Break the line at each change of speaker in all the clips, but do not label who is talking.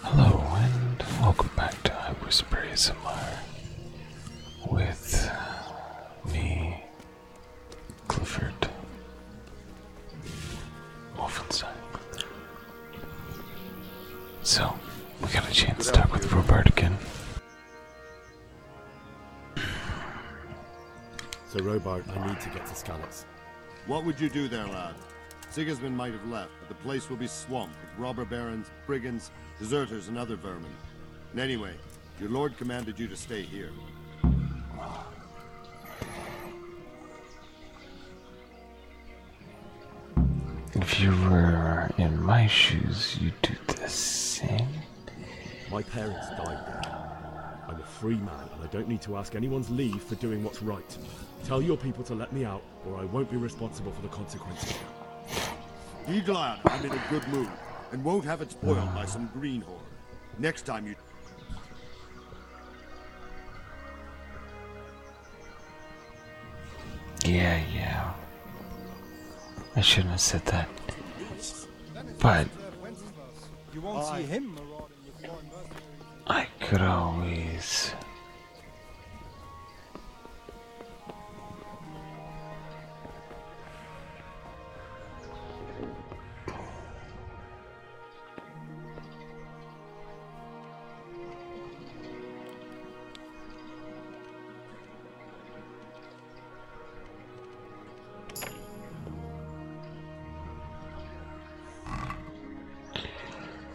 Hello and welcome back to I Whisper ASMR with uh, me, Clifford Wolfenstein.
So, we got a chance to talk with Robert again. So, Robart, I need to get to Scallops. What would you do there, lad? Sigismund might have left, but the place will be swamped with robber barons, brigands, deserters, and other vermin. And anyway, your lord commanded you to stay here.
If you were in my shoes, you'd
do the same. My parents died there. I'm a free man, and I don't need to ask anyone's leave for doing what's right. Tell your people to let me out, or I won't be responsible for the consequences. Be glad I'm in a good mood, and won't have it spoiled by some greenhorn. Next time you...
Yeah, yeah. I shouldn't have said that. But... I could always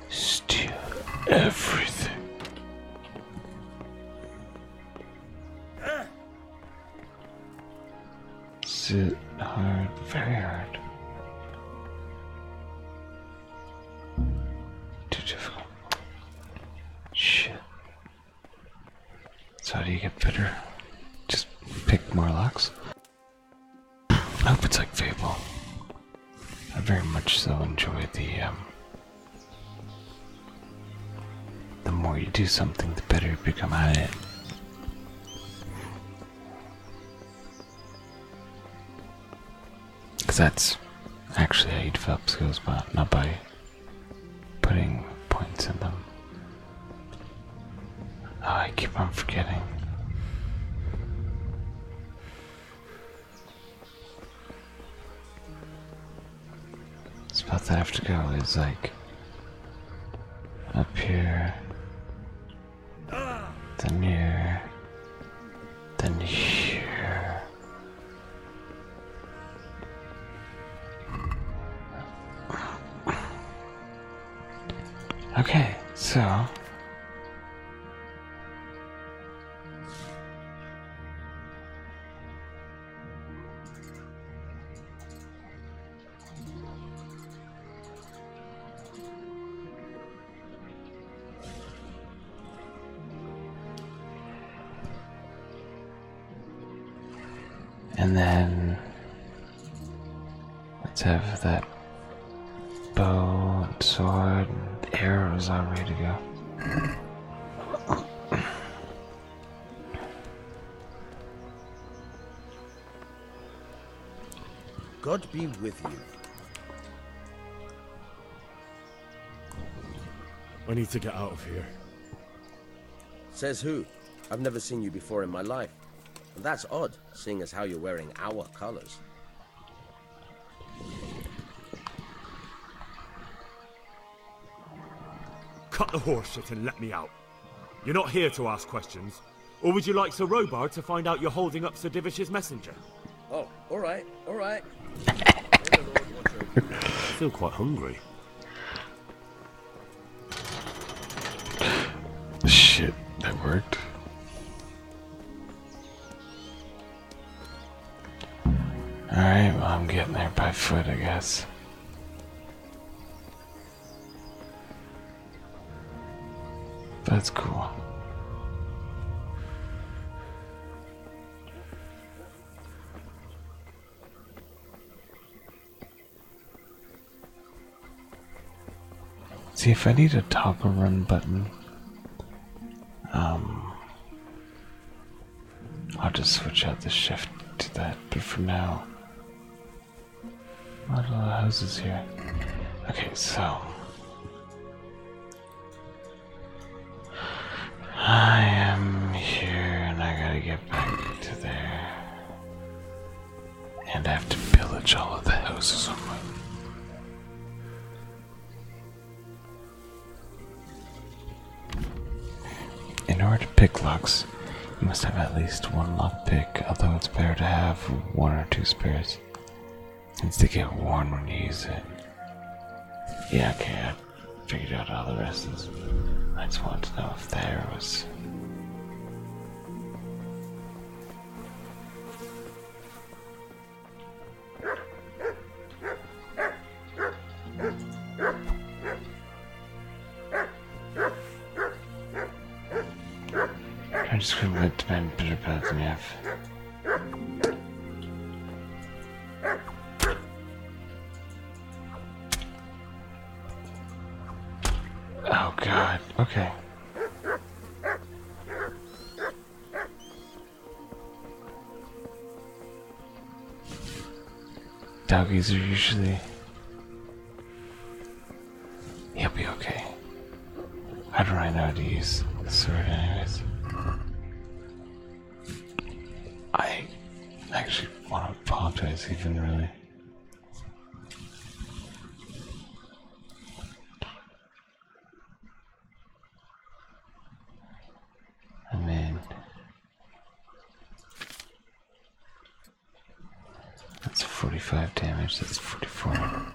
Steal everything. Sit hard, very hard. Too difficult. Shit. So how do you get better? Just pick more locks. I hope it's like Fable. I very much so enjoy the. Um, the more you do something, the better you become at it. Because that's actually how you develop skills, but not by putting points in them. Oh, I keep on forgetting. It's about to have to go It's like up here, then here, then here. Okay, so. And then Let's have that bow and sword and arrows all ready to go.
God be with you.
I need to get out of here.
Says who? I've never seen you before in my life. That's odd seeing as how you're wearing our colors.
Cut the horseshit and let me out. You're not here to ask questions. Or would you like Sir Robar to find out you're holding up Sir Divish's messenger?
Oh, all right, all right.
I feel quite hungry. Shit, that worked.
Alright, well, I'm getting there by foot, I guess. That's cool. See if I need a toggle run button. Um, I'll just switch out the shift to that. But for now, a lot of houses here. Okay, so. I am here and I gotta get back to there and I have to pillage all of the houses In order to pick locks, you must have at least one lock pick, although it's better to have one or two spares. Since to get worn when you use it. Yeah, okay, I figured out all the rest I just wanted to know if there was I just going to the man better than you have. Oh god. Okay. Doggies are usually. He'll be okay. How do I know how to use the sword, anyways? I actually want to apologize, even really. Amen. That's 45 damage, that's 44.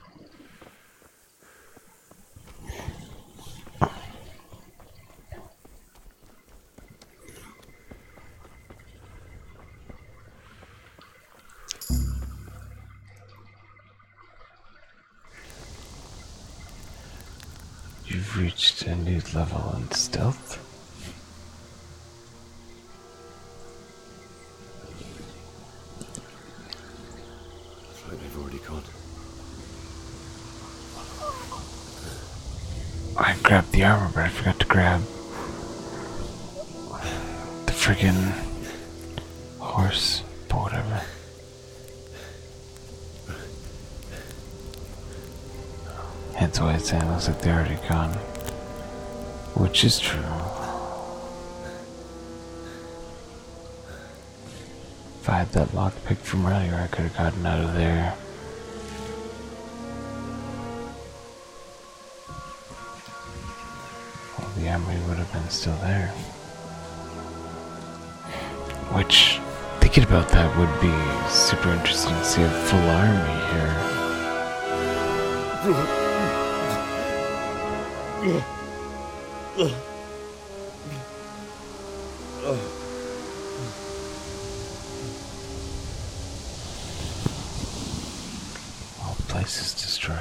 You've reached a new level in stealth. It's like they've already gone. I grabbed the armor, but I forgot to grab the friggin' horse, but That's why it saying looks like they're already gone. Which is true. If I had that lockpick from earlier, I could have gotten out of there the army would have been still there. Which, thinking about that would be super interesting to see a full army here. All places destroyed.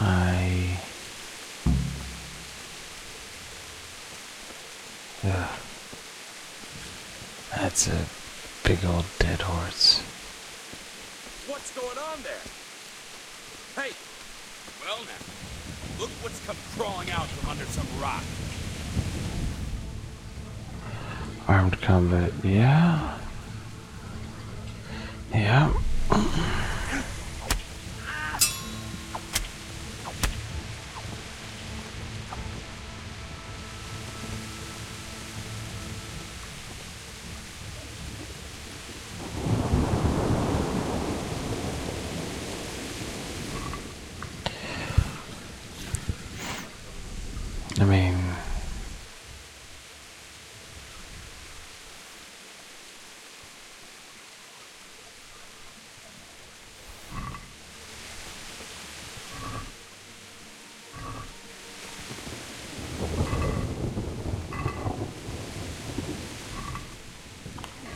I. Ugh. That's a big old dead horse.
What's going on there? Hey! Well now, look what's come crawling out from under some rock.
Armed combat, yeah. Yeah. I mean,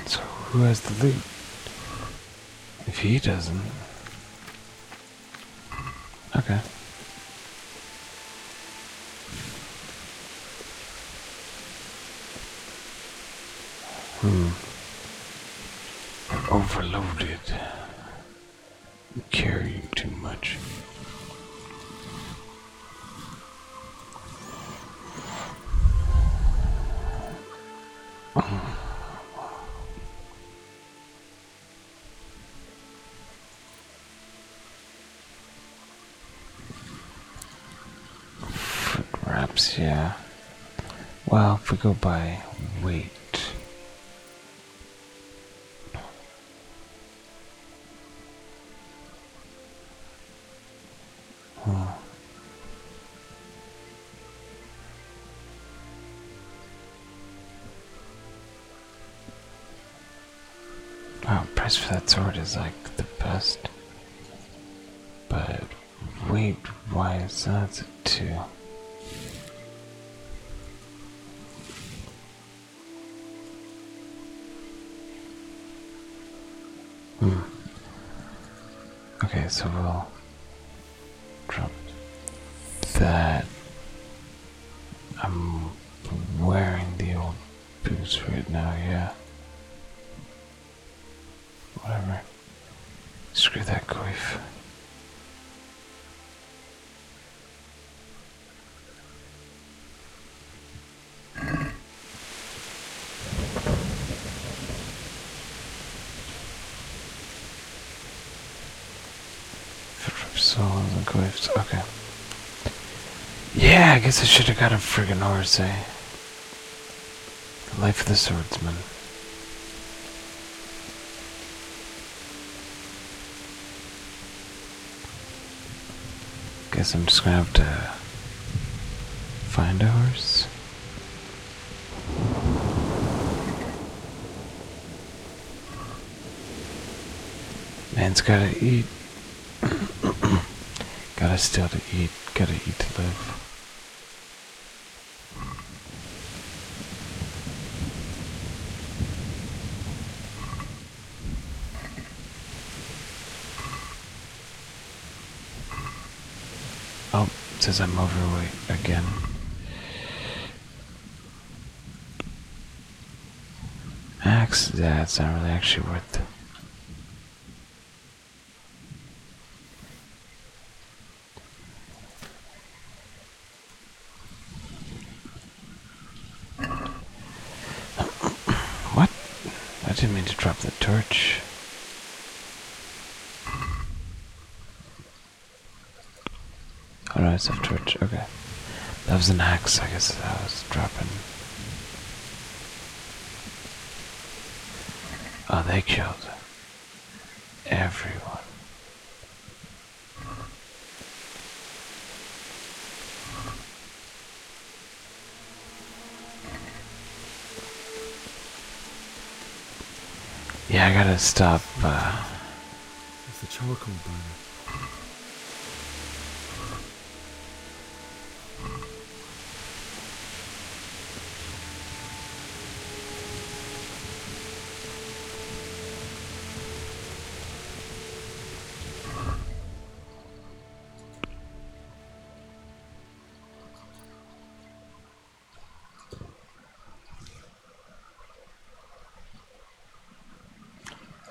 so, who has the lead? If he doesn't, Okay. Hmm. Overloaded. Carrying too much. Foot yeah. Well, if we go by weight. Wow, price for that sword is like the best. But wait, why is that two. Hmm. Okay, so we'll drop that I'm wearing the old boots right now, yeah. Whatever. Screw that coif. So I'm cliffs. Okay. Yeah, I guess I should have got a friggin' horse, The eh? Life of the swordsman. Guess I'm just gonna have to find a horse. Man's gotta eat. gotta still to eat. Gotta eat to live. Oh, says I'm overweight again. Max, yeah, not really actually worth it. What? I didn't mean to drop the torch. Alright, so church, okay. That was an axe, I guess I was dropping. Oh, they killed everyone. Yeah, I gotta stop, uh, it's the charcoal burner.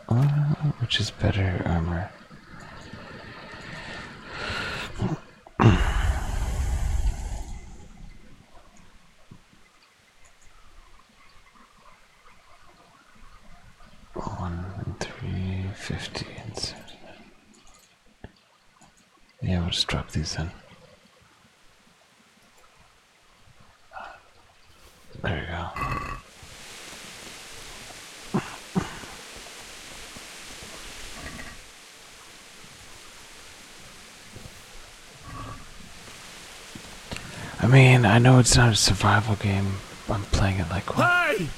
Uh, which is better armor? One three fifty and seventy. Yeah, we'll just drop these in. There you go. I mean, I know it's not a survival game. I'm playing it like one.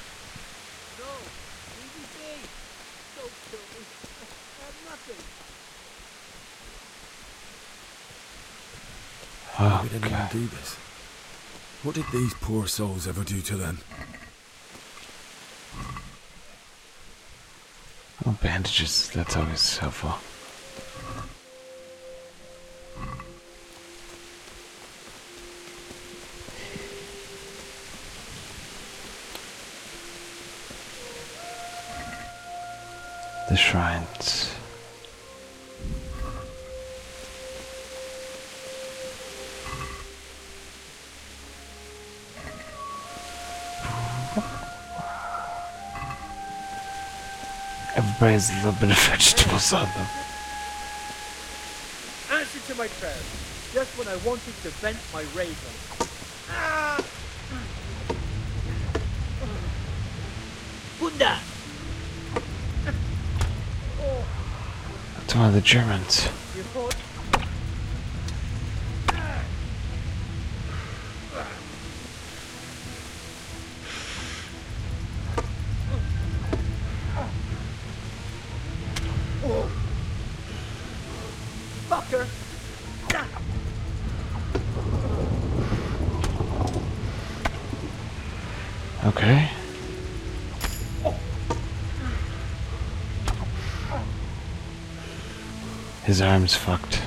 Oh, didn't do this. What did these poor souls ever do to them?
Oh, bandages. That's always helpful. The shrines. Everybody has a little bit of vegetables on them.
Answer to my prayer. Just when I wanted to vent my rage on. Ah! Buddha.
That's one of the Germans. Fucker! Okay. His arm's fucked.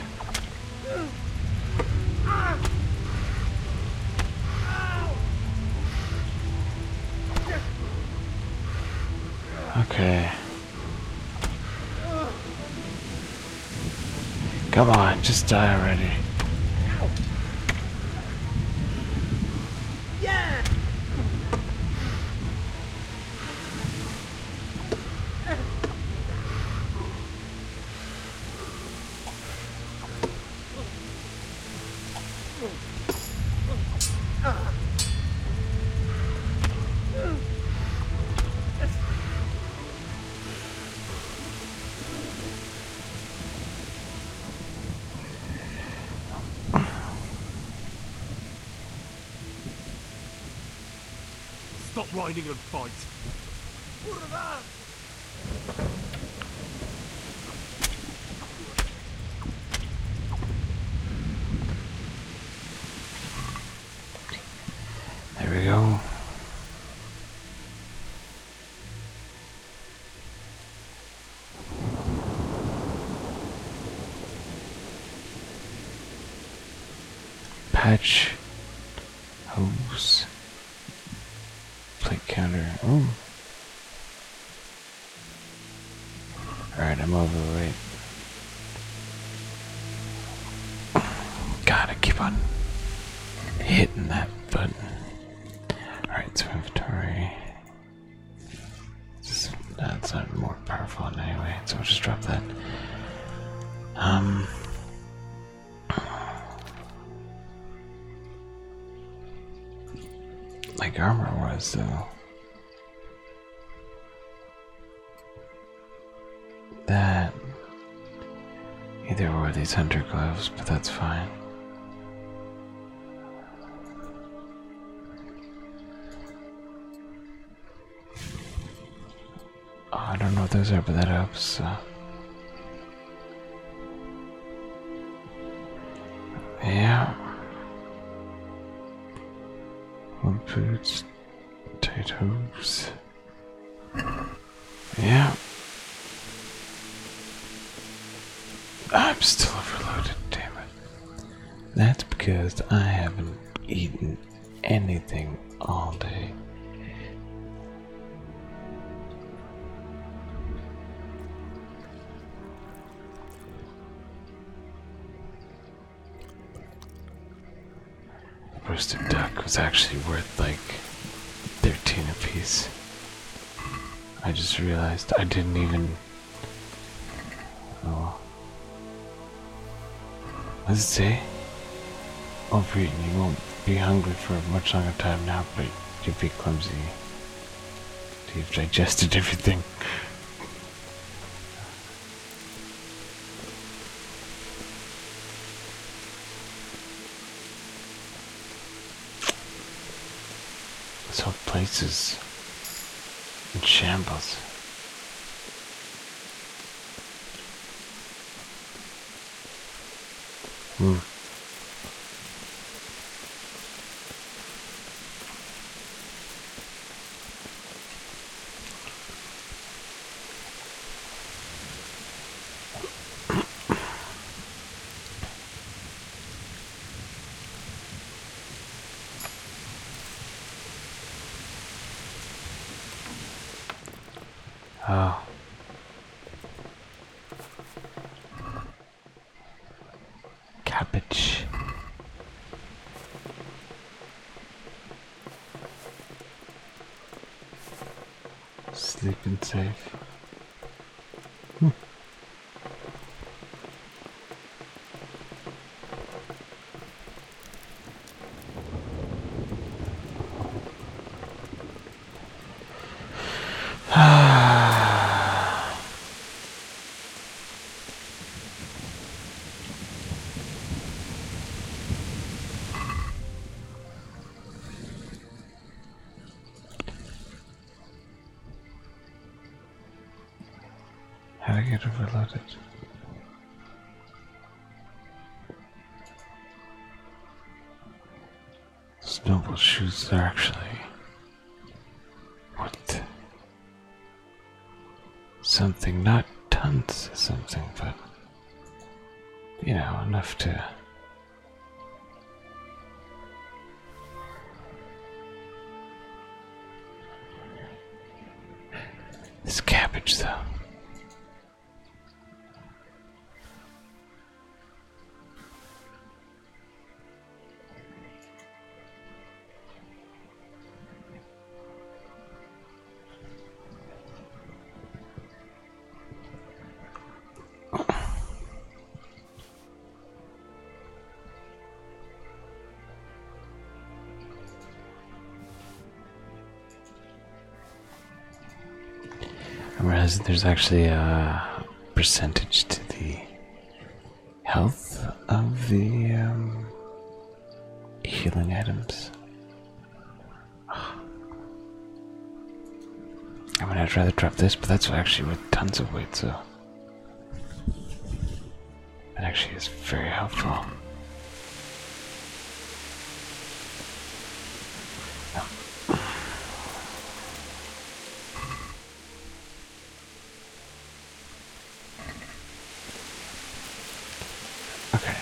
Okay. Come on, just die already.
Yeah.
Stop riding and fight.
There we go. Patch hose Play counter. Oh. Alright, I'm over overweight. Gotta keep on hitting that button. Alright, so inventory. It's, that's not more powerful in any way, so we'll just drop that. Um. Like armor was, though. That. Either wore these hunter gloves, but that's fine. Oh, I don't know if those are, but that helps. So. Yeah. Well, boots, potatoes. Yeah. I'm still overloaded, damn it. That's because I haven't eaten anything all day roasted duck was actually worth like 13 a piece. I just realized I didn't even. Oh. What does it say? Overeaten, you won't be hungry for a much longer time now, but you'll be clumsy. You've digested everything. This whole place is in shambles. Mm. Oh. Cabbage. Sleeping safe. Hmm. How do I get overloaded? Snowball shoots actually. What? Something, not tons something, but you know, enough to This cabbage, though. Whereas there's actually a percentage to the health of the um, healing items. I mean, I'd rather drop this, but that's actually with tons of weight, so. That actually is very helpful. Okay.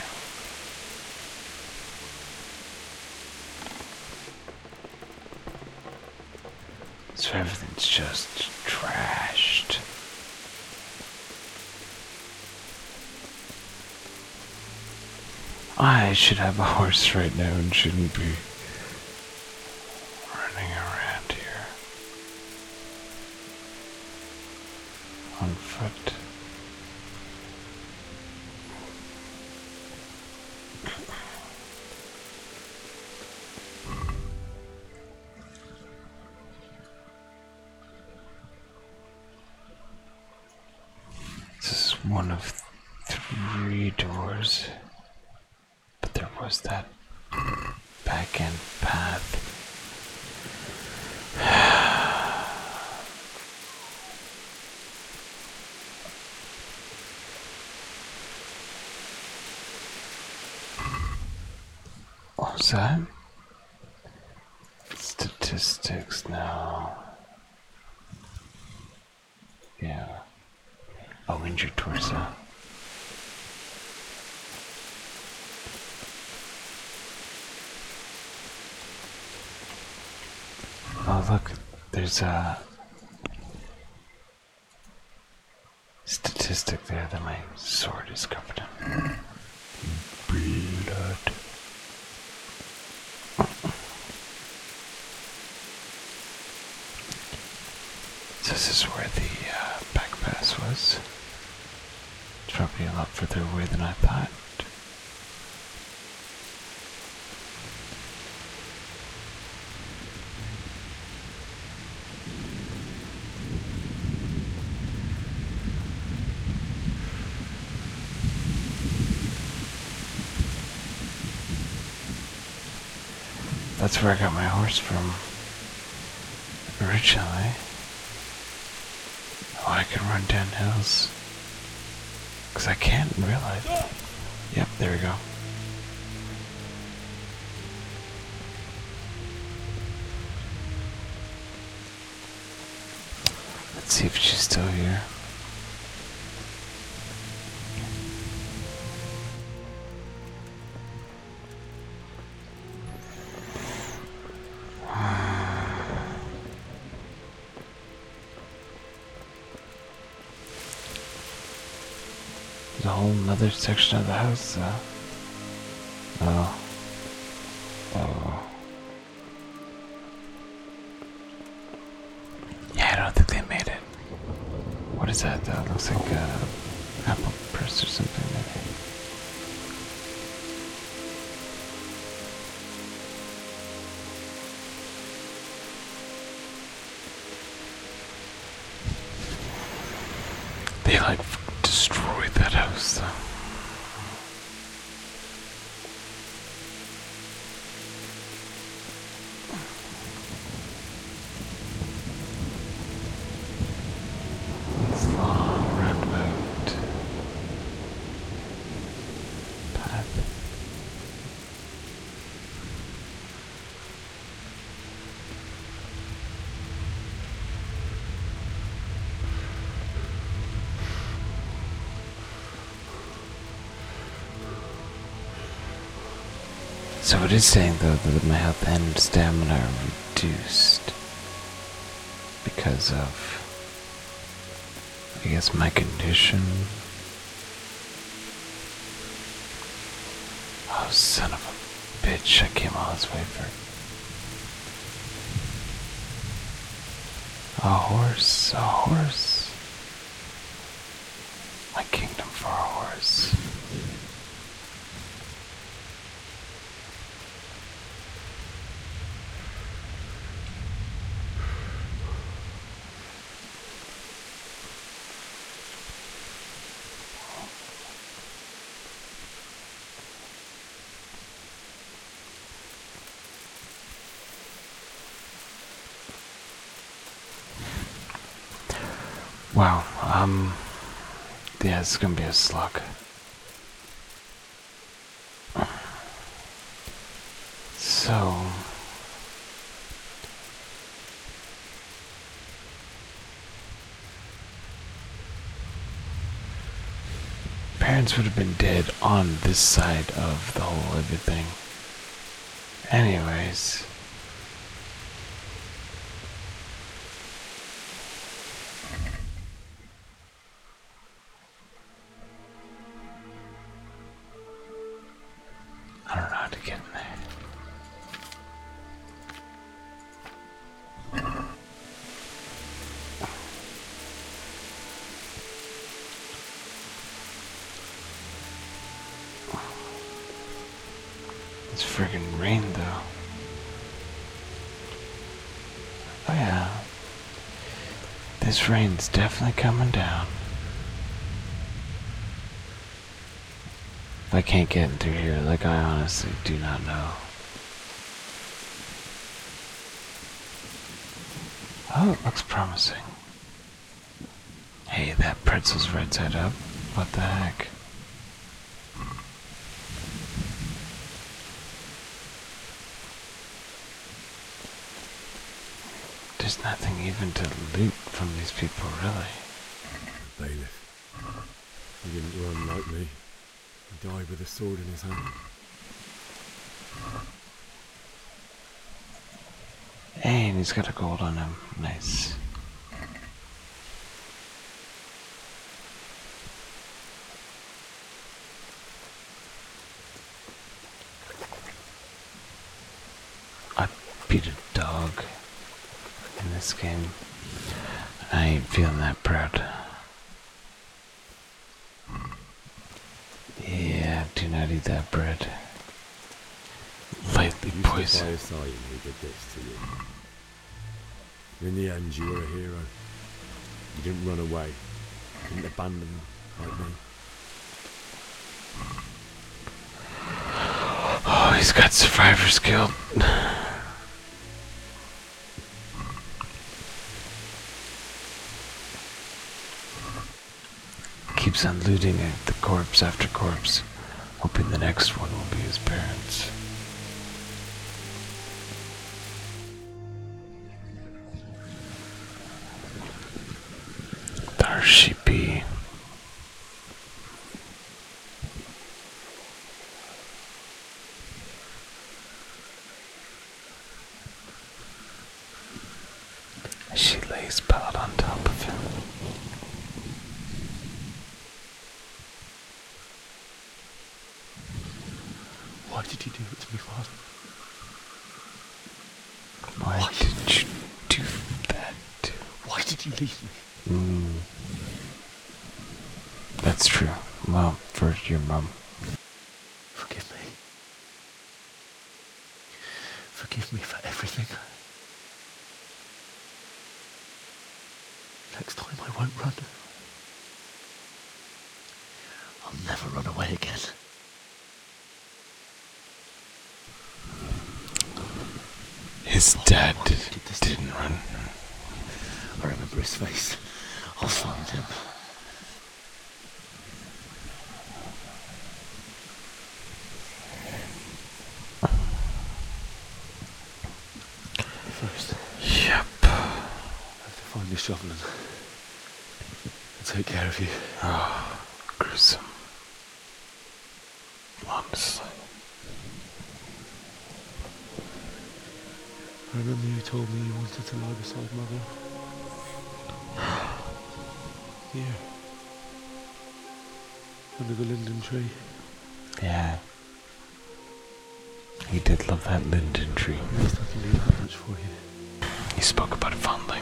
So everything's just trashed. I should have a horse right now and shouldn't be running around here on foot. This is one of three doors, but there was that back end path. What's that? Statistics now. Yeah. Oh, injured torso. Oh, look, there's a statistic there that my sword is covered this is where the uh, back pass was. It's probably a lot further away than I thought. That's where I got my horse from originally. Oh, I can run down hills. Because I can't realize. Yep, there we go. Let's see if she's still here. There's a whole nother section of the house, Oh. Oh. Yeah, I don't think they made it. What is that, though? looks like an apple press or something, maybe. They like destroyed that house It's long, road. So it is saying though that my health and stamina are reduced because of I guess my condition. Oh, son of a bitch, I came all this way for. A horse, a horse. My kingdom for a horse. Wow, um, yeah, it's gonna be a slug. So. Parents would have been dead on this side of the whole thing. Anyways. I don't know how to get in there. It's friggin' rain though. Oh yeah, this rain's definitely coming down. I can't get in through here. Like, I honestly do not know. Oh, it looks promising. Hey, that pretzel's right side up. What the heck? There's nothing even to loot from these people, really.
Bailiff, he didn't run like me. He died with a sword in his hand.
and he's got a gold on him. Nice. I beat a dog in this game. I ain't feeling that proud. Yeah, do not eat that bread.
Lightly poisoned. I you did this to you. In the end, you were a hero. You didn't run away. You didn't abandon me.
Oh, he's got survivor's guilt. Keeps on looting the corpse after corpse, hoping the next one will be his parents. There she be. She lays proud on top of him.
Why did he do it to me, Father? Why, did you do that? Why did you leave me?
Hmm. That's true. Well, for your mum. Forgive me.
Forgive me for everything. Next time I won't run. I'll never run away again.
His dad oh,
didn't run. I remember his face. I'll find him.
First. Yep. I have to find this shoveling. I'll take care
of you. Oh, gruesome. Honestly.
I remember you told me you wanted to lie beside Mother. Here. yeah. Under the linden tree.
Yeah. You did love that linden tree. He spoke about it fondly.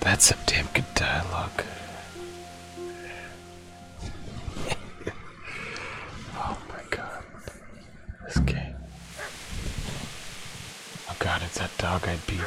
That's some damn good dialogue. oh my god. This game. Oh god, it's that dog eyed beer.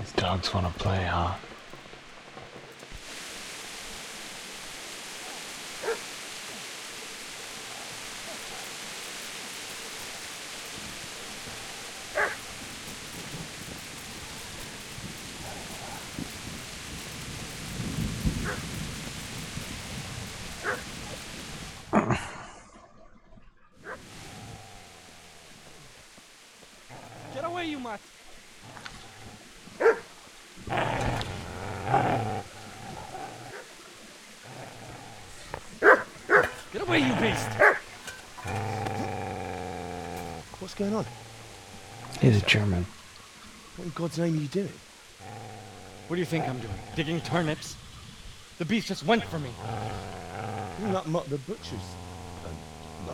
These dogs want to play, huh?
Get away, you mutt!
Get away, you beast!
What's going on? He's a German. What in God's name are you doing? What do you think I'm doing? Digging turnips? The beast just went for me. Isn't that the butcher's? Um,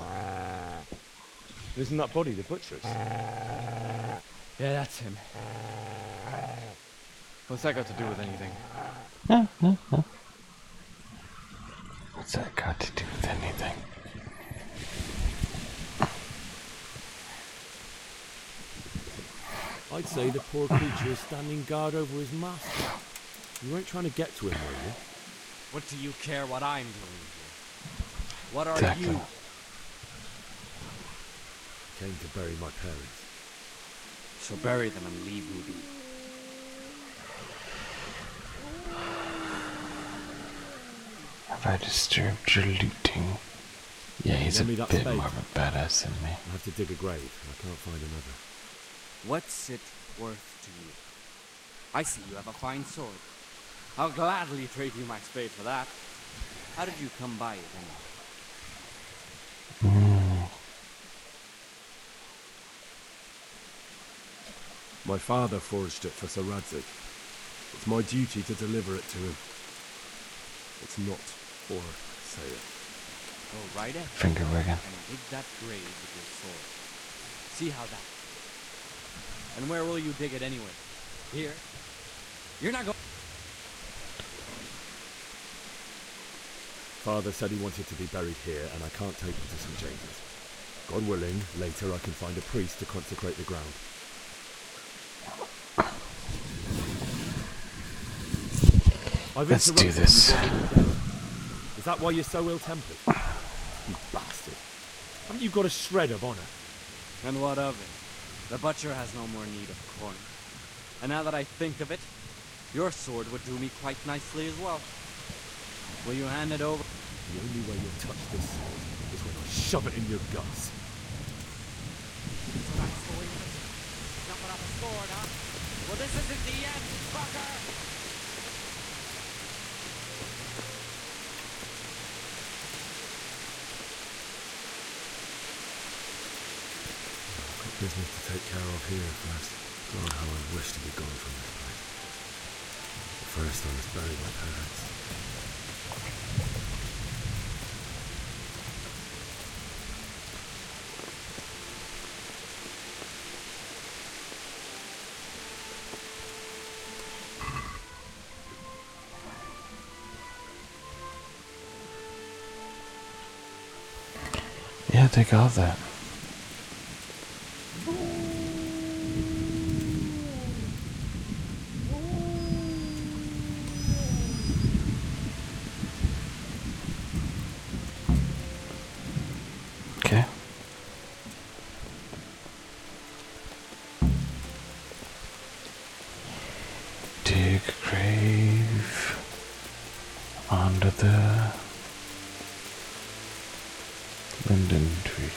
Isn't that body the butcher's? Yeah, that's him. What's that got to do with anything?
No, no, no.
What's that got to do with anything? I'd say the poor creature is standing guard over his master. You weren't trying to get to him, were you? What do you care what I'm doing here? What are exactly. you? Came to bury my parents.
So bury them and leave me
Have I disturbed your looting?
Yeah, he's a bit space. more of a badass than me. I have to dig a grave. I can't find
another. What's it worth to you? I see you have a fine sword. I'll gladly trade you my spade for that. How did you come by it, anyway?
Hmm.
My father forged it for Sir Radzik. It's my duty to deliver it to him. It's not or Saya. Go right Finger wagging.
See how that.
And where will you dig it anyway? Here? You're not going.
Father said he wanted to be buried here, and I can't take him to St. James's. God willing, later I can find a priest to consecrate the ground. Let's do this. Is that why you're so ill-tempered? You bastard. Haven't you got a shred of honor? And what of it? The butcher has no more need of corn. And now that I think of it, your sword would do me quite nicely as well. Will you hand it over? The only way you'll touch this sword is when I shove it in your guts. Jumping off a sword, huh? Well, this isn't the end, fucker! business to take care of here first. God, how I wish to be gone from this place. But first, I must bury my parents.
Yeah, take off that. Okay. Dig grave under the linden tree.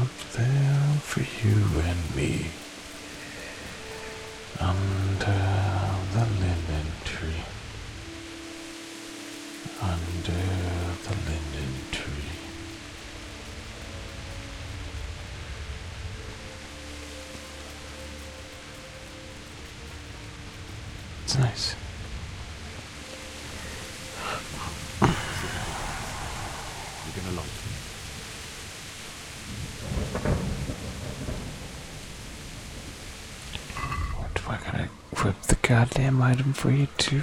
Up there for you and me under the linden tree, under the linden tree. It's nice. You're gonna like it. What am I gonna equip the goddamn item for you too?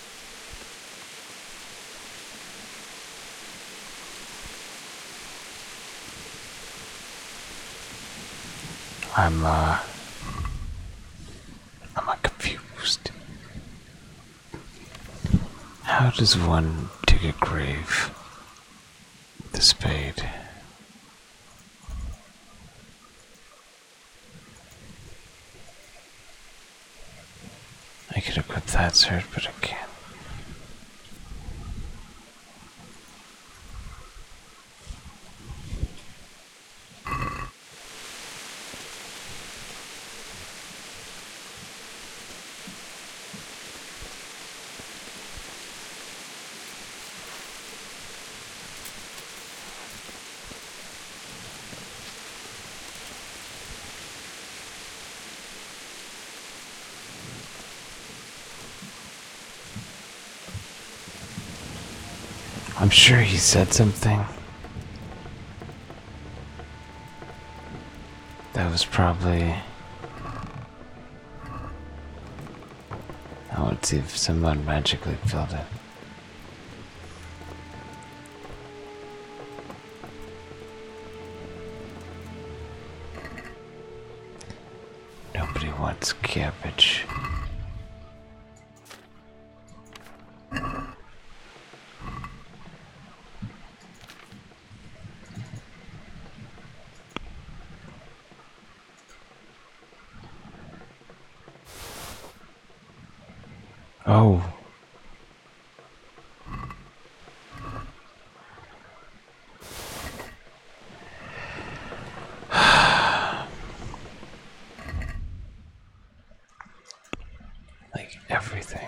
I'm, uh, I'm confused. How does one dig a grave with a spade? I could have equip that sword, but I can't. I'm sure he said something. That was probably. I would see if someone magically filled it. Nobody wants cabbage. Oh, like everything.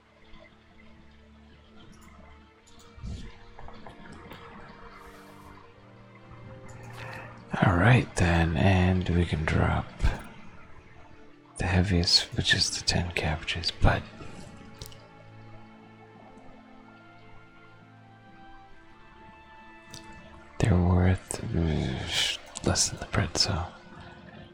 Alright then, and we can drop the heaviest, which is the 10 cabbages, but they're worth mm, less than the bread, so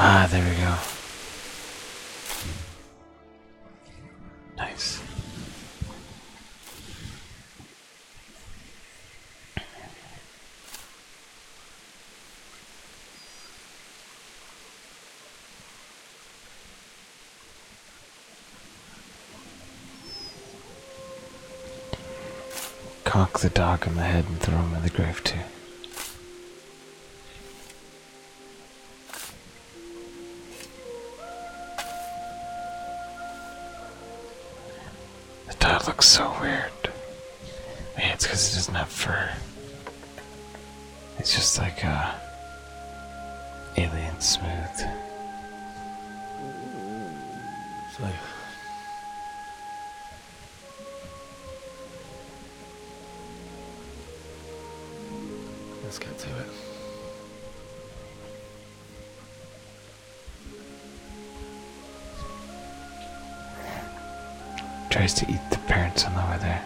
Ah, there we go. Nice. Cock the dog on the head and throw him in the grave, too. The dog looks so weird. it's because it doesn't have fur. It's just like a uh, alien smooth.
Let's
get to it.
Tries to eat the parents on the way there.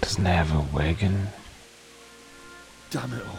Doesn't have a wagon?
Damn it all.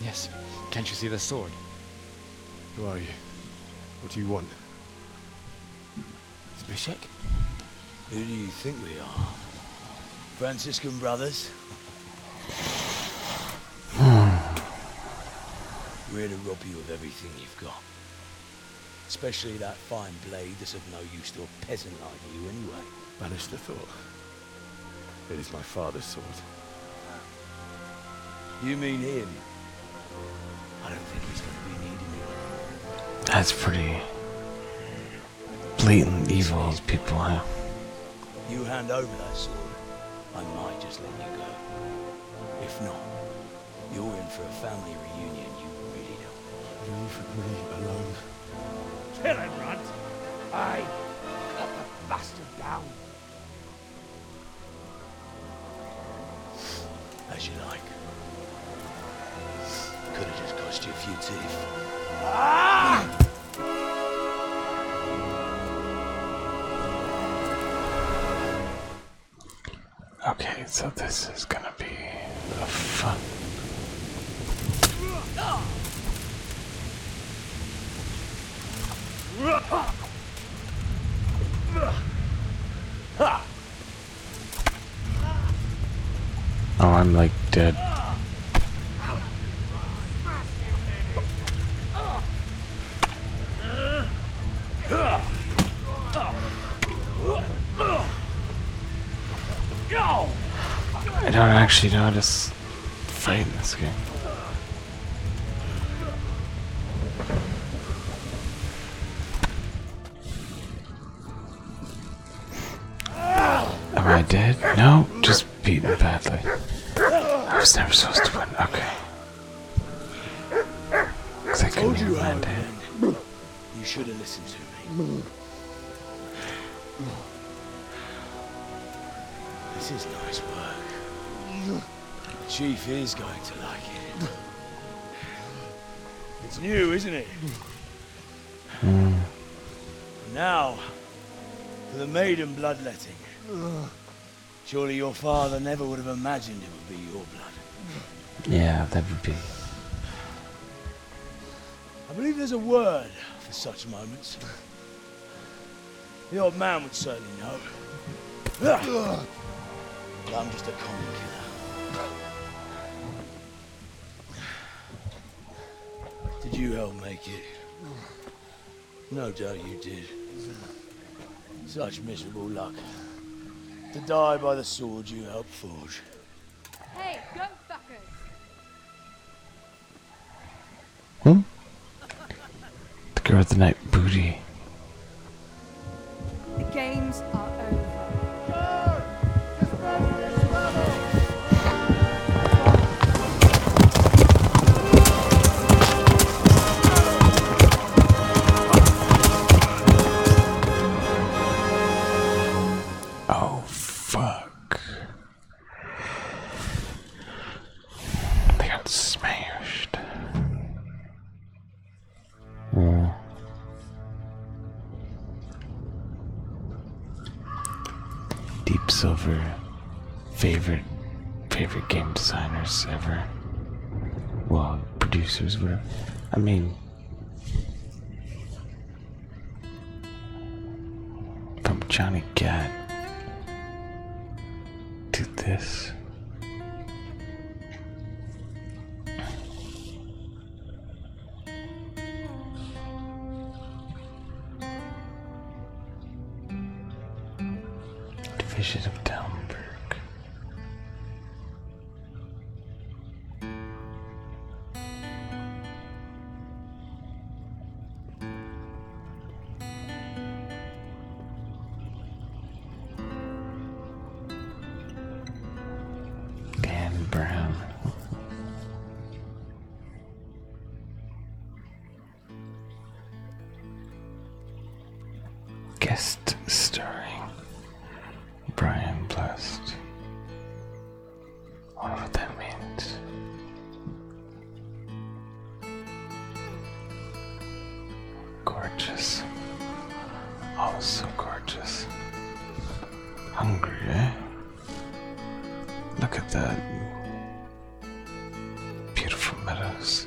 Yes. Can't you see the sword? Who are you? What do you want?
Zbyszek? Who do you think we are? Franciscan brothers? Hmm. We're to rob you of everything you've got. Especially that fine blade that's of no use to a peasant like you anyway.
Banish the thought. It is my father's sword. You mean him? I don't think
he's going to be needing me. That's pretty blatant evil people are.
You hand over that sword, I might just let you go. If not, you're in for a family reunion you really don't want. Leave me alone. Kill him, Runt! I cut the bastard down. As you like. Could have just cost you a few teeth. Ah!
Okay, so this is gonna be a fun. Oh, I'm like dead. I don't actually know how to fight in this game. Am I dead? No, just beaten badly. I was never
supposed to win. Okay. I couldn't even land it. You should have listened to me. This is nice work. Chief is going to like it. It's new, isn't it? Hmm. Now, for the maiden bloodletting. Surely your father never would have imagined it would be your blood.
Yeah, that would be.
I believe there's a word for such moments. The old man would certainly know. I'm just a common killer. Did you help make it? No doubt you did. Such miserable luck. To die by the sword you helped forge.
Hey, go fuckers! Hmm? The girl of the night booty.
The games are
Oh, fuck. They got smashed. Hmm. Deep Silver, favorite favorite game designers ever. Well, producers, whatever. I mean, from Johnny Gat to this. vision of Dalmberg. Dan Brown. Guest starring Brian Blessed. I don't know what that means. Gorgeous. Oh, so gorgeous. Hungry, eh? Look at that. Beautiful meadows.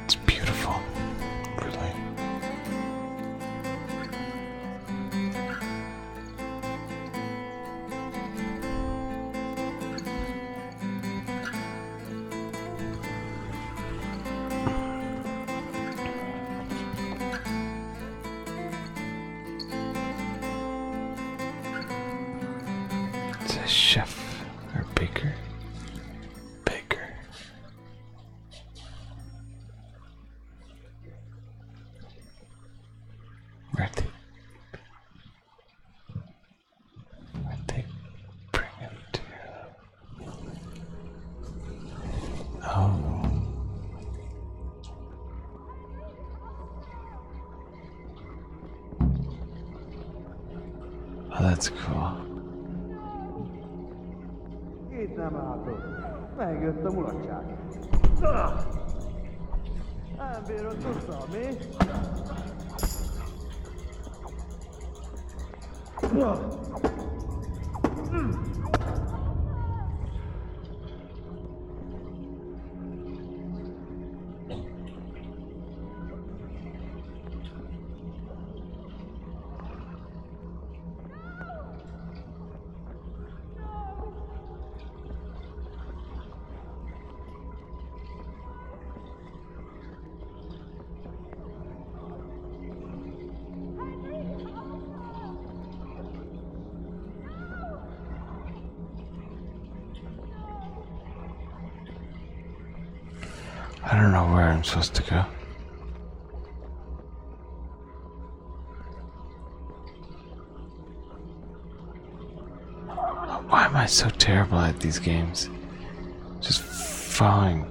It's beautiful, really. It's chef or baker. Baker where they, where they bring him to. Oh. Oh, that's cool.
Itt nem látok. Megjött a mulatság. Nem bírod tudta, mi?
I don't know where I'm supposed to go. Why am I so terrible at these games? Just following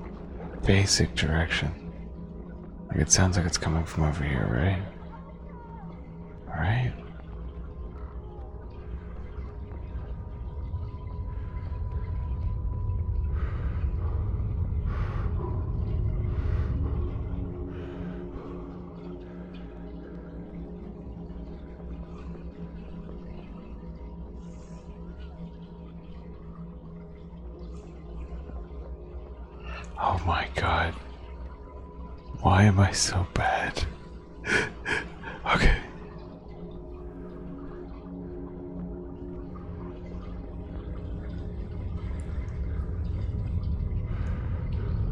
basic direction. Like it sounds like it's coming from over here, right? All right? Oh my god. Why am I so bad? okay.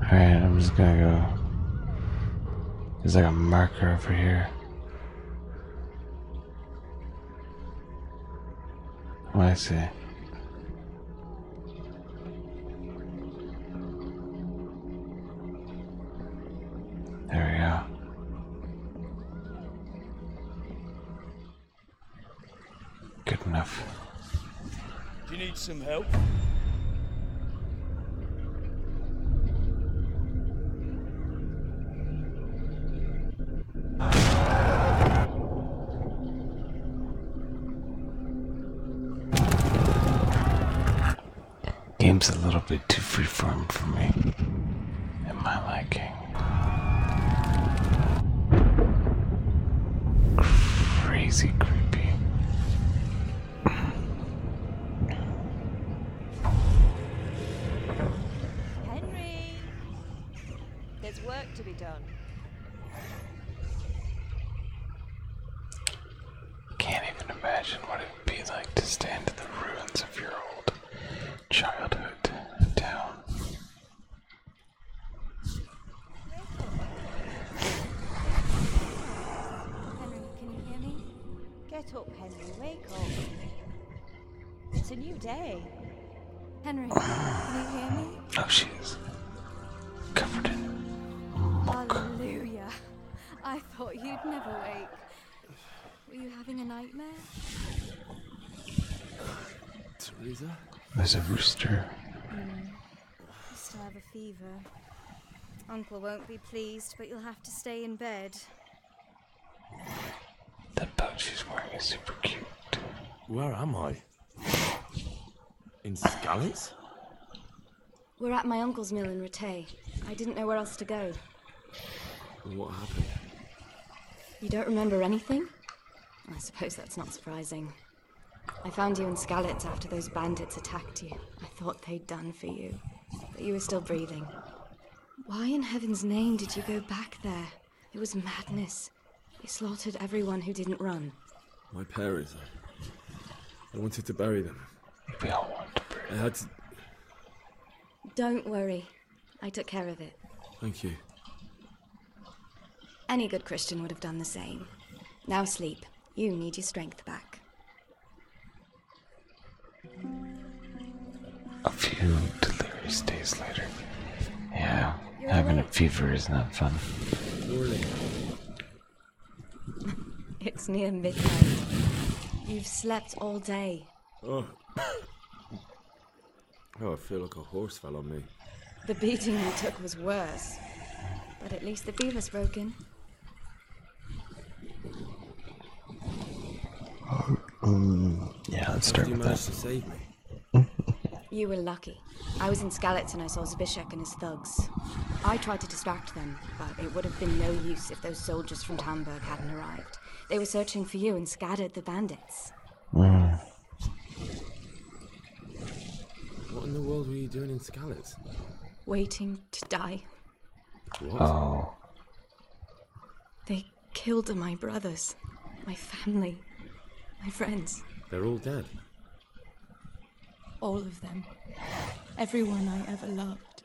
Alright, I'm just gonna go. There's like a marker over here. What I see. There we go. Good enough.
Do you need some help?
Game's a little bit too freeform for me, in my liking. Crazy creepy.
Henry! There's work to be done.
Can't even imagine what it would be like to stand in the ruins of your old childhood town. Henry,
can you hear me? Get up, Henry, wake up. It's a new day. Henry, can you hear me? Oh, she is. Covered Hallelujah. I thought you'd never wake. Were you having
a nightmare? Teresa?
There's a rooster.
Mm. still have a fever. Uncle won't be pleased, but you'll have to stay in bed.
That bug she's wearing is super cute. Where am I? In Scally's?
We're at my uncle's mill in Rattay. I didn't know where else to go. What happened? You don't remember anything? I suppose that's not surprising. I found you in Scalitz after those bandits attacked you. I thought they'd done for you, but you were still breathing. Why in heaven's name did you go back there? It was madness. You slaughtered everyone who didn't run.
My parents. Uh, I wanted to bury them.
We all want to bury them. Don't worry. I took care of it. Thank you. Any good Christian would have done the same. Now sleep. You need your strength back.
A few delirious days later. Yeah, having a fever is not fun.
it's near midnight. You've slept all day.
Oh. Oh, I feel like a horse fell on me.
The beating I took was worse. But at least the beaver's broken.
Mm, yeah, let's start with
that.
you were lucky. I was in Scalitz and I saw Zbishek and his thugs. I tried to distract them, but it would have been no use if those soldiers from Tamburg hadn't arrived. They were searching for you and scattered the bandit.
Mm.
What in the world were you doing in Scarlet?
Waiting to die.
What? Oh.
They killed my brothers, my family, my friends. They're all dead. All of them. Everyone I ever loved.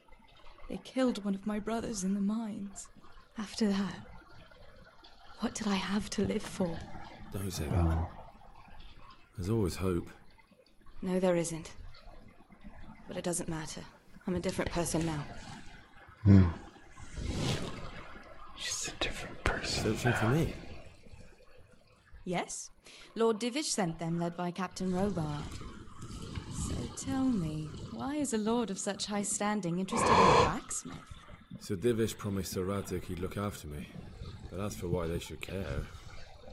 They killed one of my brothers in the mines. After that, what did I have to live for?
Don't say that. There's always hope.
No, there isn't. But it doesn't matter. I'm a different person now. Hmm. She's a different
person. Searching for me.
Yes. Lord Divish sent them, led by Captain Robar. Tell me, why is a lord of such high standing interested in a blacksmith?
Sir Divish promised Sir Radzik he'd look after me, but as for why they should care,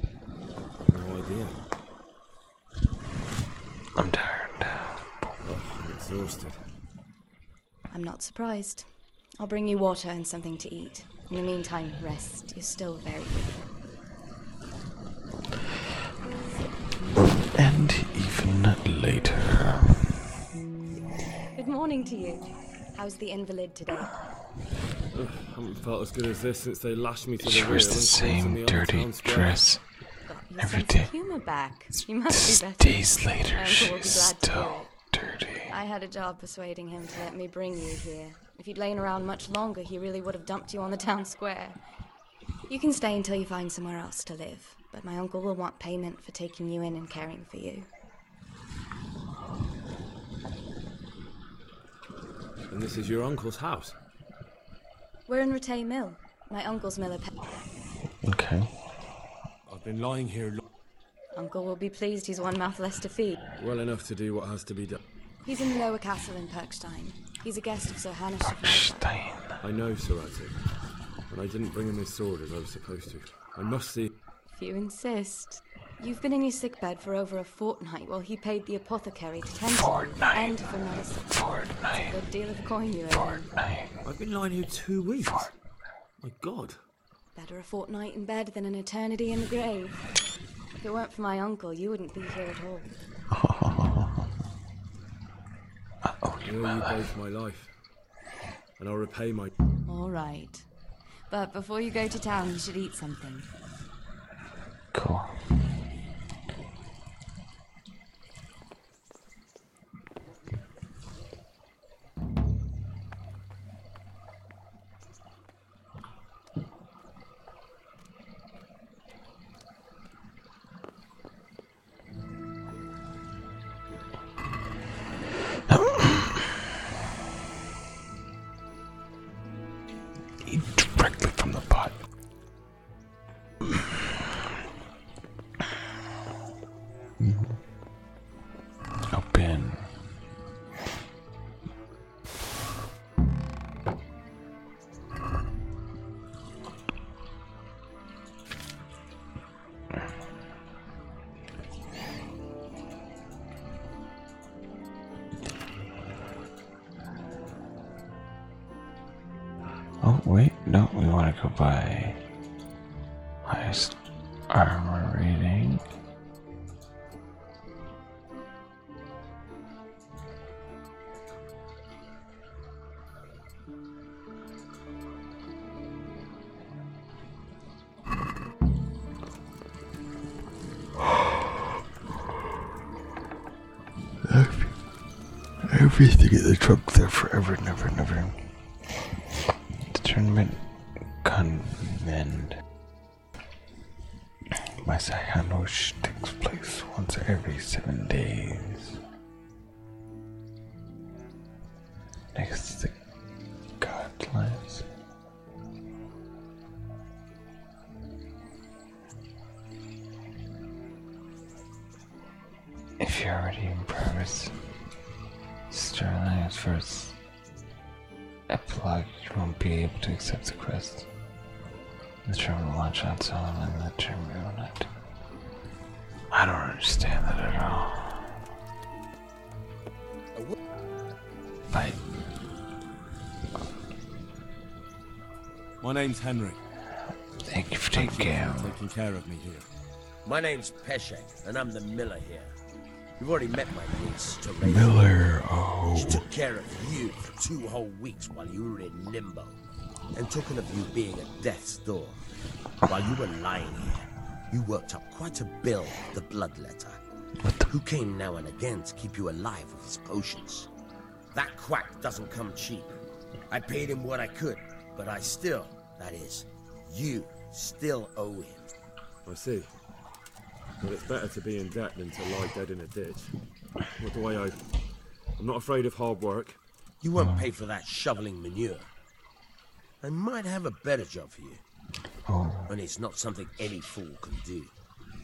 I've no idea. I'm tired. Oh, I'm exhausted.
I'm not surprised. I'll bring you water and something to eat. In the meantime, rest. You're still very weak
and
even later.
Good morning to you. How's the invalid today? I
haven't felt as good as this since they lashed me to the She wears the
same dirty
dress
every day. Humor back. She must Days later, she's still dirty. I had a job persuading him to let me bring you here. If you'd lain around much longer, he really would have dumped you on the town square. You can stay until you find somewhere else to live, but my uncle will want payment for taking you in and caring for you.
And this is your uncle's house?
We're in Rattay Mill. My uncle's miller.
okay. I've been lying here.
Uncle will be pleased he's one mouth less to feed.
Well enough to do what has to be done.
He's in the Lower Castle in Perkstein. He's a guest of Sir Hannah. Perkstein.
I know, Sir Sarati. But I didn't bring him his sword as I was supposed to. I must see.
If you insist. You've been in your sickbed for over a fortnight while he paid the apothecary to tend fortnight. and for medicine. Fortnight. a good deal of coin you owe.
I've been lying here two weeks. My God.
Better a fortnight in bed than an eternity in the grave. If it weren't for my uncle, you wouldn't be here at all.
I owe you, both my life. And I'll repay my.
All right. But before you go to town, you should eat something. Cool.
Eat directly from the pot. Open. Oh, wait, no, we want to go by highest armor rating. I used to get the truck there forever and ever and ever. Discernment convent. My Sayanosh takes place once every seven days. Next the guidelines. If you're already in progress, Sterling at 1st You Epilogue won't be able to accept the quest. The terminal launch on its own and the terminal not I don't understand that at all.
My name's Henry. Thank you for taking, care. of me here.
My name's Peshek, and I'm the miller here. You've already met my niece, Miller, oh. She took oh. care of you for two whole weeks while you were in limbo and talking of you being at death's door. While you were lying here, you worked up quite a bill of the bloodletter, who came now and again to keep you alive with his potions. That quack doesn't come cheap. I paid him what I could, but I still, that is, you still
owe him. I see. But it's better to be in debt than to lie dead in a ditch. with do way owe? I'm not afraid of hard work. You won't pay for that
shoveling manure. I might have a better job for you. And oh. it's not something any fool can do.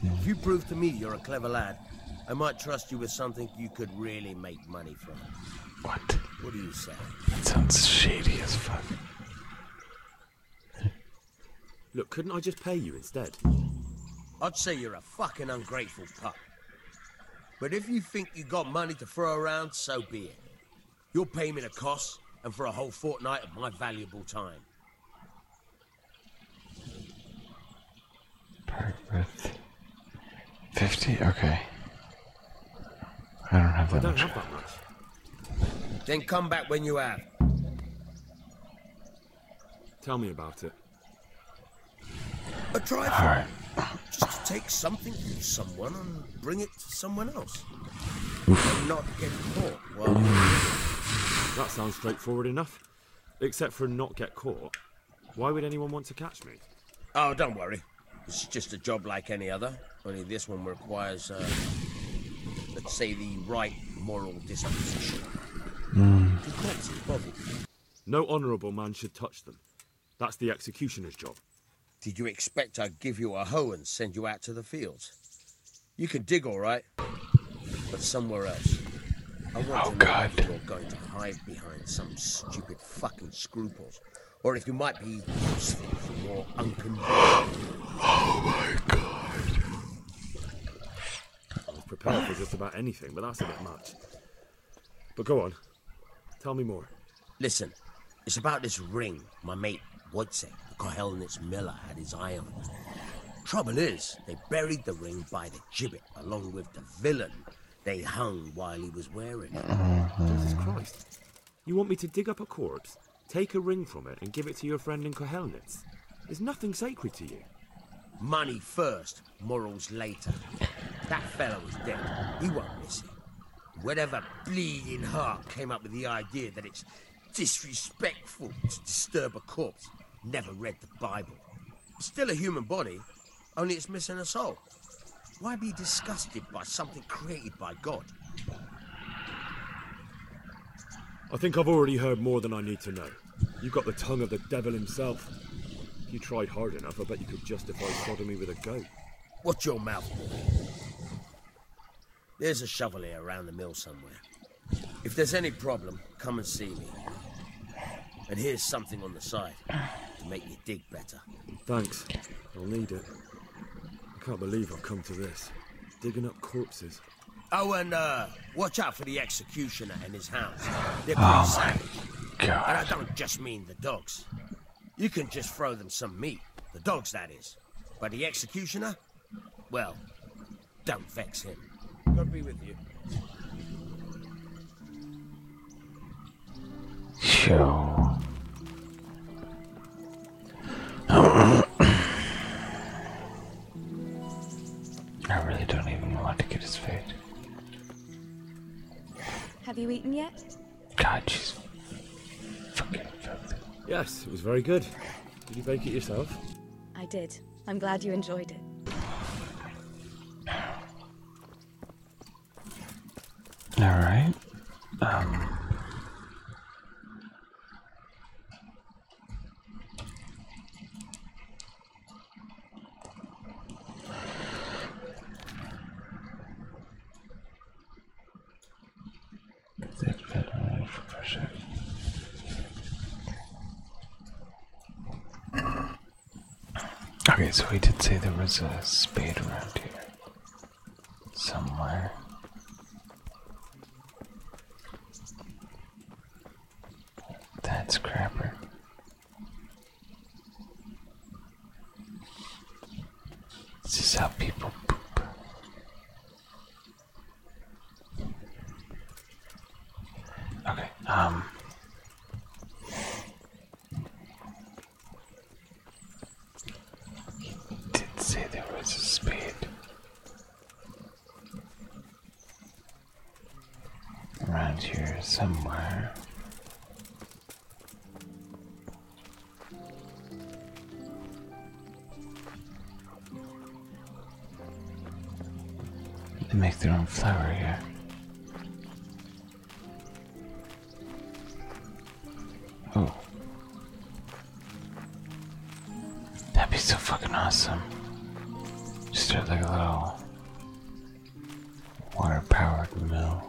If you prove to me you're a clever lad, I might trust you with something you could really make money from. What? What do you say? That sounds shady as fuck.
Look, couldn't I just pay you instead?
I'd say you're a fucking ungrateful pup. But if you think you have got money to throw around, so be it. You'll pay me the cost and for a whole fortnight of my valuable time.
With 50? Okay.
I don't have that I don't Have that much. Then come back when you have. Tell me about it. A trifle. Just to take something from someone and bring it to someone else.
Oof. And get caught. that sounds straightforward enough. Except for not get caught. Why would anyone want to catch me? Oh, don't worry.
It's just a job like any other. Only this one requires, uh,
let's say, the right moral disposition. Mm. No honourable man should touch them. That's the executioner's job. Did you expect
I'd give you a hoe and send you out to the fields? You can dig all right, but somewhere else. I want oh, to know if you're going to hide behind some stupid fucking scruples, or if you might be useful or unconvinced. oh my God!
I am prepared for just about anything, but that's a bit much. But go on, Tell me more. Listen,
it's about this ring my mate Wojciech, the Kohelnitz miller, had his eye on. Trouble is, they buried the ring by the gibbet along with the villain
they hung while he was wearing it. Mm-hmm. Jesus Christ. You want me to dig up a corpse, take a ring from it, and give it to your friend in Kohelnitz? There's nothing sacred to you.
Money first, morals later. That fellow is dead. He won't miss it. Whatever bleeding heart came up with the idea that it's disrespectful to disturb a corpse never read the Bible. It's still a human body, only it's missing a soul. Why be disgusted by something created by
God? I think I've already heard more than I need to know. You've got the tongue of the devil himself you tried hard enough, I bet you could justify sodomy with a goat. What's your mouth. There's a
shovel here around the mill somewhere. If there's any problem, come and see me. And here's something on the side to make you dig better.
Thanks. I'll need it. I can't believe I've come to this. Digging up corpses.
Oh, and uh, watch out for the executioner and his hounds. They're oh, pretty oh savage. God. And I don't just mean the dogs. You can just throw them some meat. The dogs, that is. But the executioner? Well, don't vex him. God be with you.
Sure. I really don't even want to get his feet.
Have you eaten yet?
God, she's Yes, it was very good. Did you bake it yourself?
I did. I'm glad you enjoyed it.
All right. Um, Okay, so he did say there was a spade around here. Somewhere. That's crapper. This is how people poop. Okay, um. He did say there was a spade. Around here somewhere. They make their own flour here. Oh. That'd be so fucking awesome. Just start like a little water powered mill.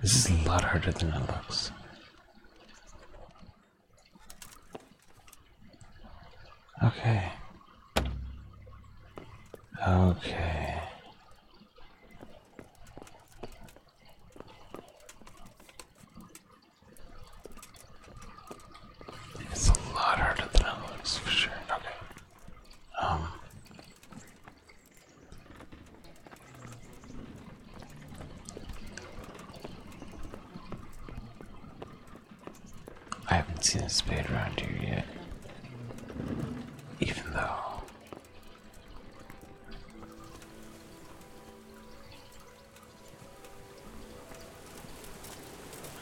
This is a lot harder than it looks. Okay. Okay. It's a lot harder than it looks for sure. Okay. Um, I haven't seen a spade around here yet, even though.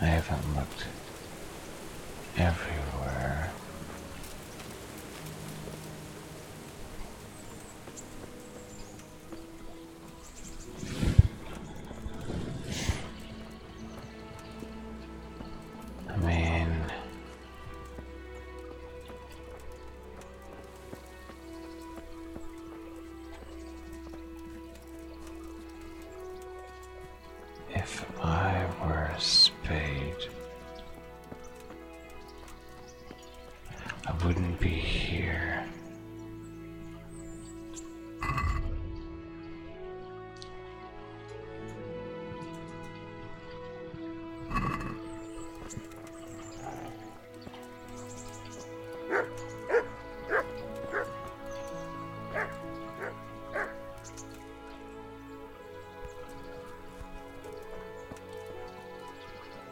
I haven't looked everywhere. I mean, if I were a spade, I wouldn't be here.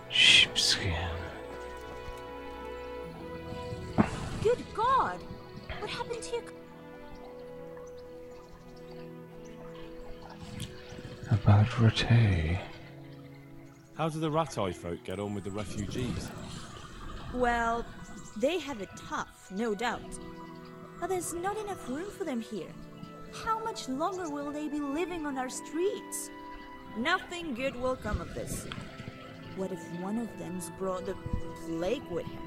Sheepskin.
Good God!
What happened to your. About Ratay.
How do the Ratay folk get on with the refugees?
Well, they have it tough no doubt. But there's not enough room for them here. How much longer will they be living on our streets? Nothing good will come of this. What if one of
them's brought the plague with him?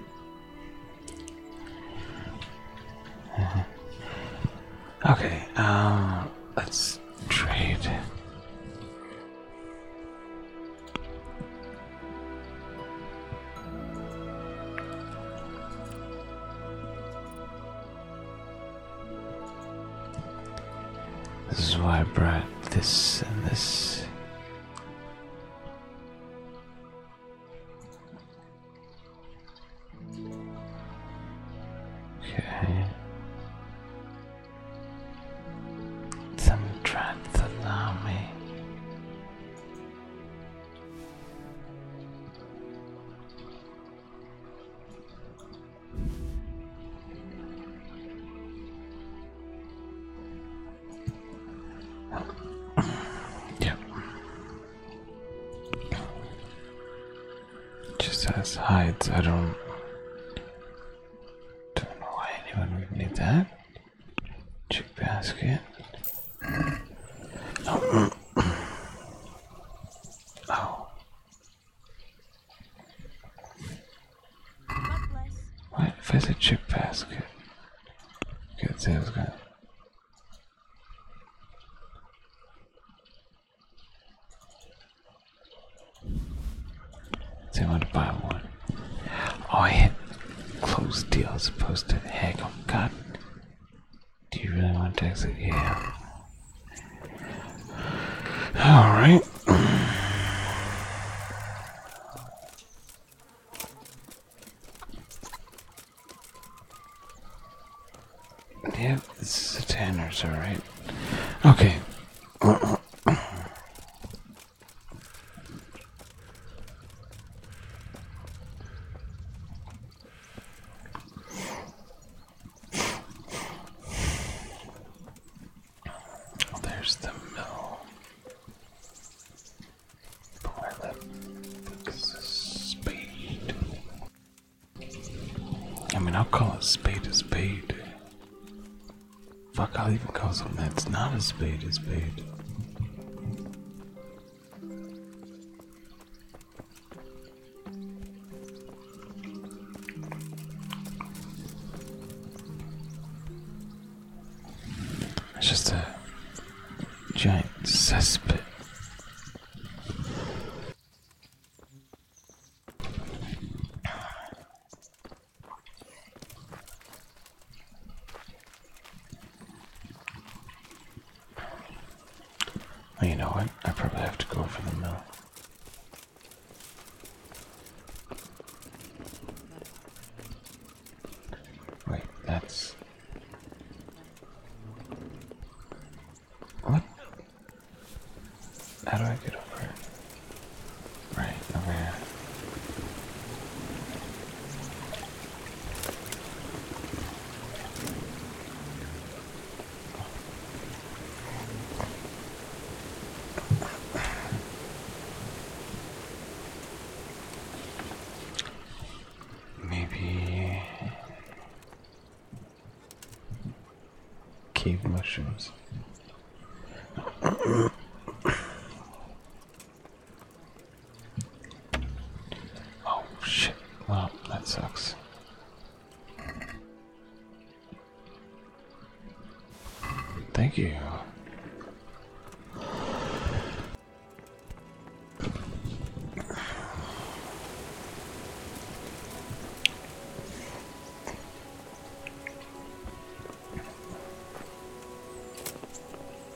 okay, um, let's trade. This is why I brought this and this. Okay. Some tried to yeah. It just has hides. I don't. Don't know why anyone would need that. Chick basket. Oh. oh. What if I said chip basket? Good sales guy. They want to buy one. Oh, I hit close deal as opposed to heck on god. Do you really want to exit? Yeah. Alright. yep, this is the tanner's alright. Okay. There's the mill. Boy, that looks I mean, I'll call a spade a spade. Fuck, I'll even call something that's not a spade a spade. It's just a giant cesspit you know what? I probably have to go for the mill. Wait, that's. What? How do I get over here? Right, over here. Maybe cave mushrooms. Oh shit, well, that sucks. Thank you.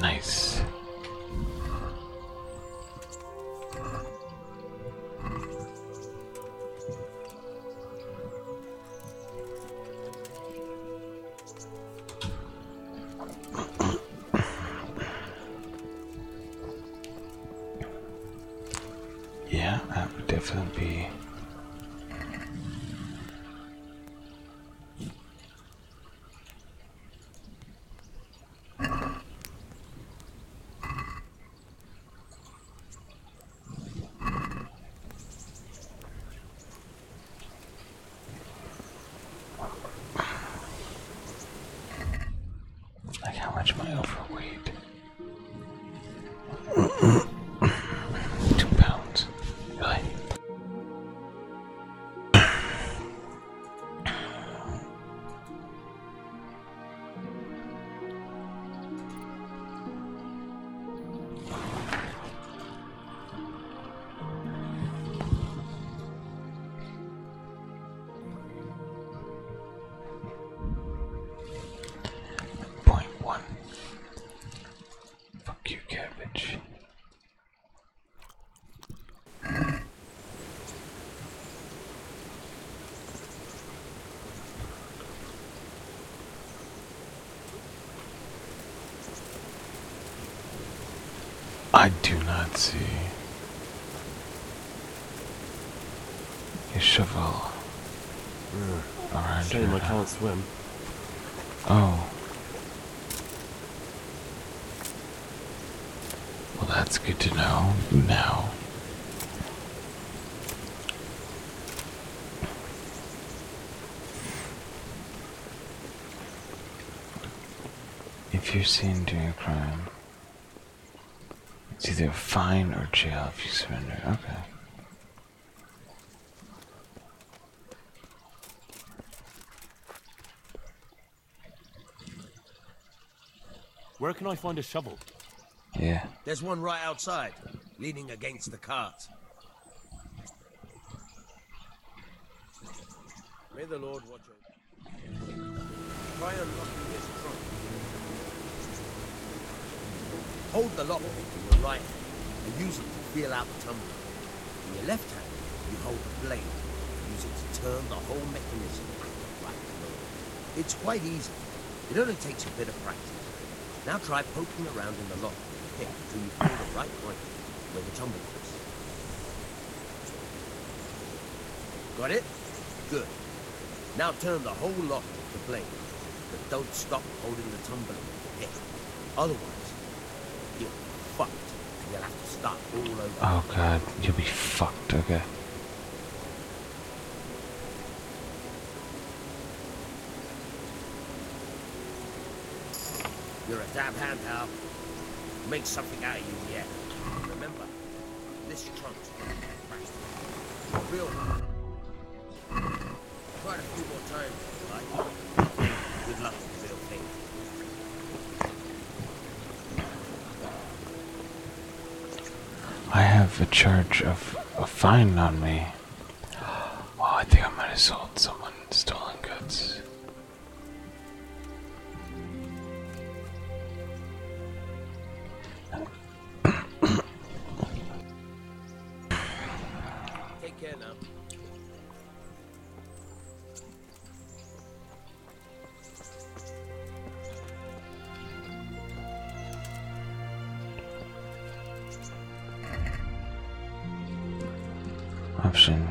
Nice.
yeah, that would definitely like how much am I overweight? Two pounds. Really? Point one Fuck you, cabbage. I do not see a shovel.
Mm. Around Shame I can't swim.
Oh. Well, that's good to know now. If you're seen doing a crime, it's either a fine or jail if you surrender. Okay.
Where can I find a shovel?
Yeah.
There's one right outside, leaning against the cart.
May the Lord watch over. Try
Hold the lockpick in your right hand and use it to feel out the tumbler. In your left hand, you hold the blade and use it to turn the whole mechanism at the right It's quite easy. It only takes a bit of practice. Now try poking around in the lock with the pick until you feel the right point where the tumbler is. Got it? Good. Now turn the whole lock to the but don't stop holding the tumbler Otherwise, you're fucked. you'll have to start all over. Oh god,
you'll be fucked, okay.
You're a damn hand, Hal. Make something out of you yet. Remember, this trunk's real hard.
I have a charge of a fine on me. Oh, I think I might have sold someone stolen goods.
Take
care now.
Option.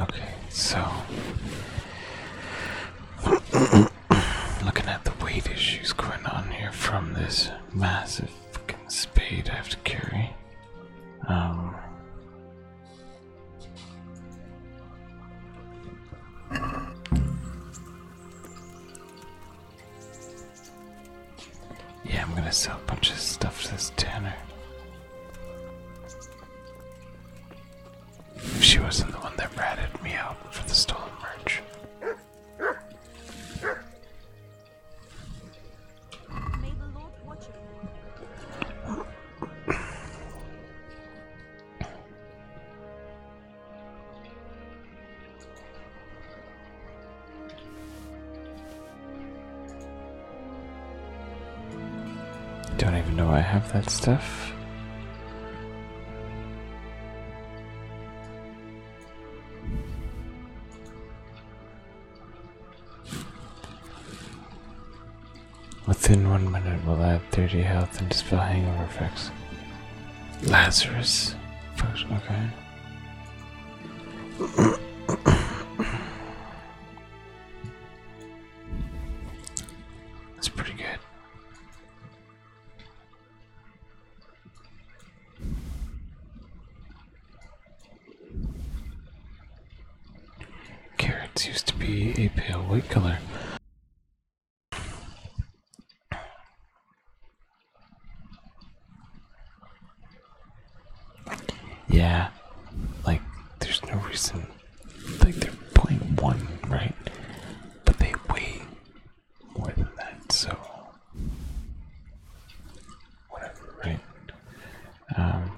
Okay, so. Looking at the weight issues going on here from this massive fucking spade I have to carry. Um, yeah, I'm gonna sell a bunch of stuff to this tanner. If she wasn't the one that ratted me out for the stolen merch. Don't even know I have that stuff. Within one minute, we'll add 30 health and dispel hangover effects. Lazarus. okay. That's pretty good. Carrots used to be a pale white color. Yeah, like there's no reason. Like they're playing one, right? But they weigh more than that, so whatever, right? Um,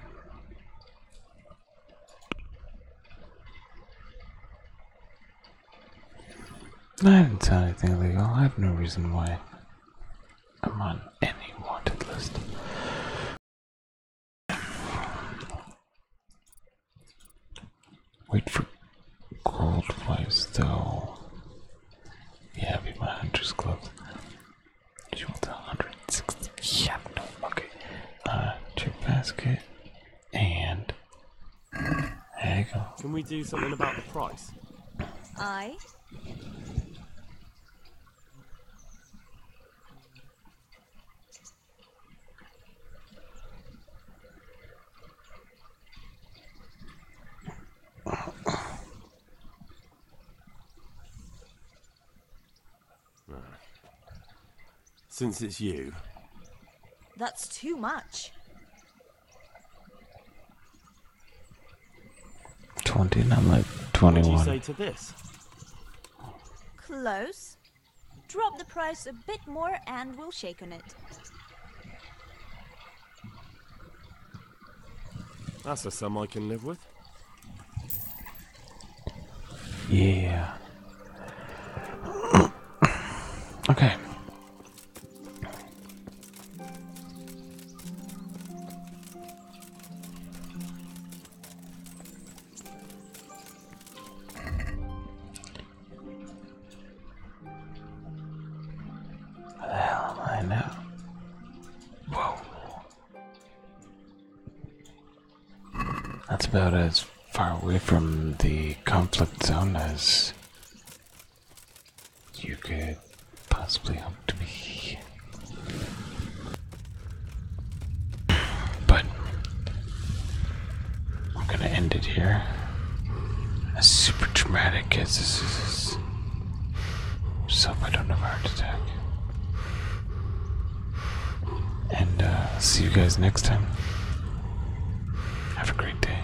I didn't tell anything illegal. I have no reason why I'm on any wanted list. Wait for gold flies though. Yeah, be my hunter's gloves. She wants 160. Yeah, okay. Uh, two basket
and. There you go. Can we do something about the price? I since it's you.
That's too much.
20, and I'm like 21.
Close. Drop the price a bit more and we'll shake on it.
That's a sum I can live with.
Yeah. okay. Where the hell I now? Whoa. That's about as far away from the conflict zone as you could possibly help to me. But I'm gonna end it here. As super dramatic as this is, so I don't have a heart attack. And uh, see you guys next time. Have a great day.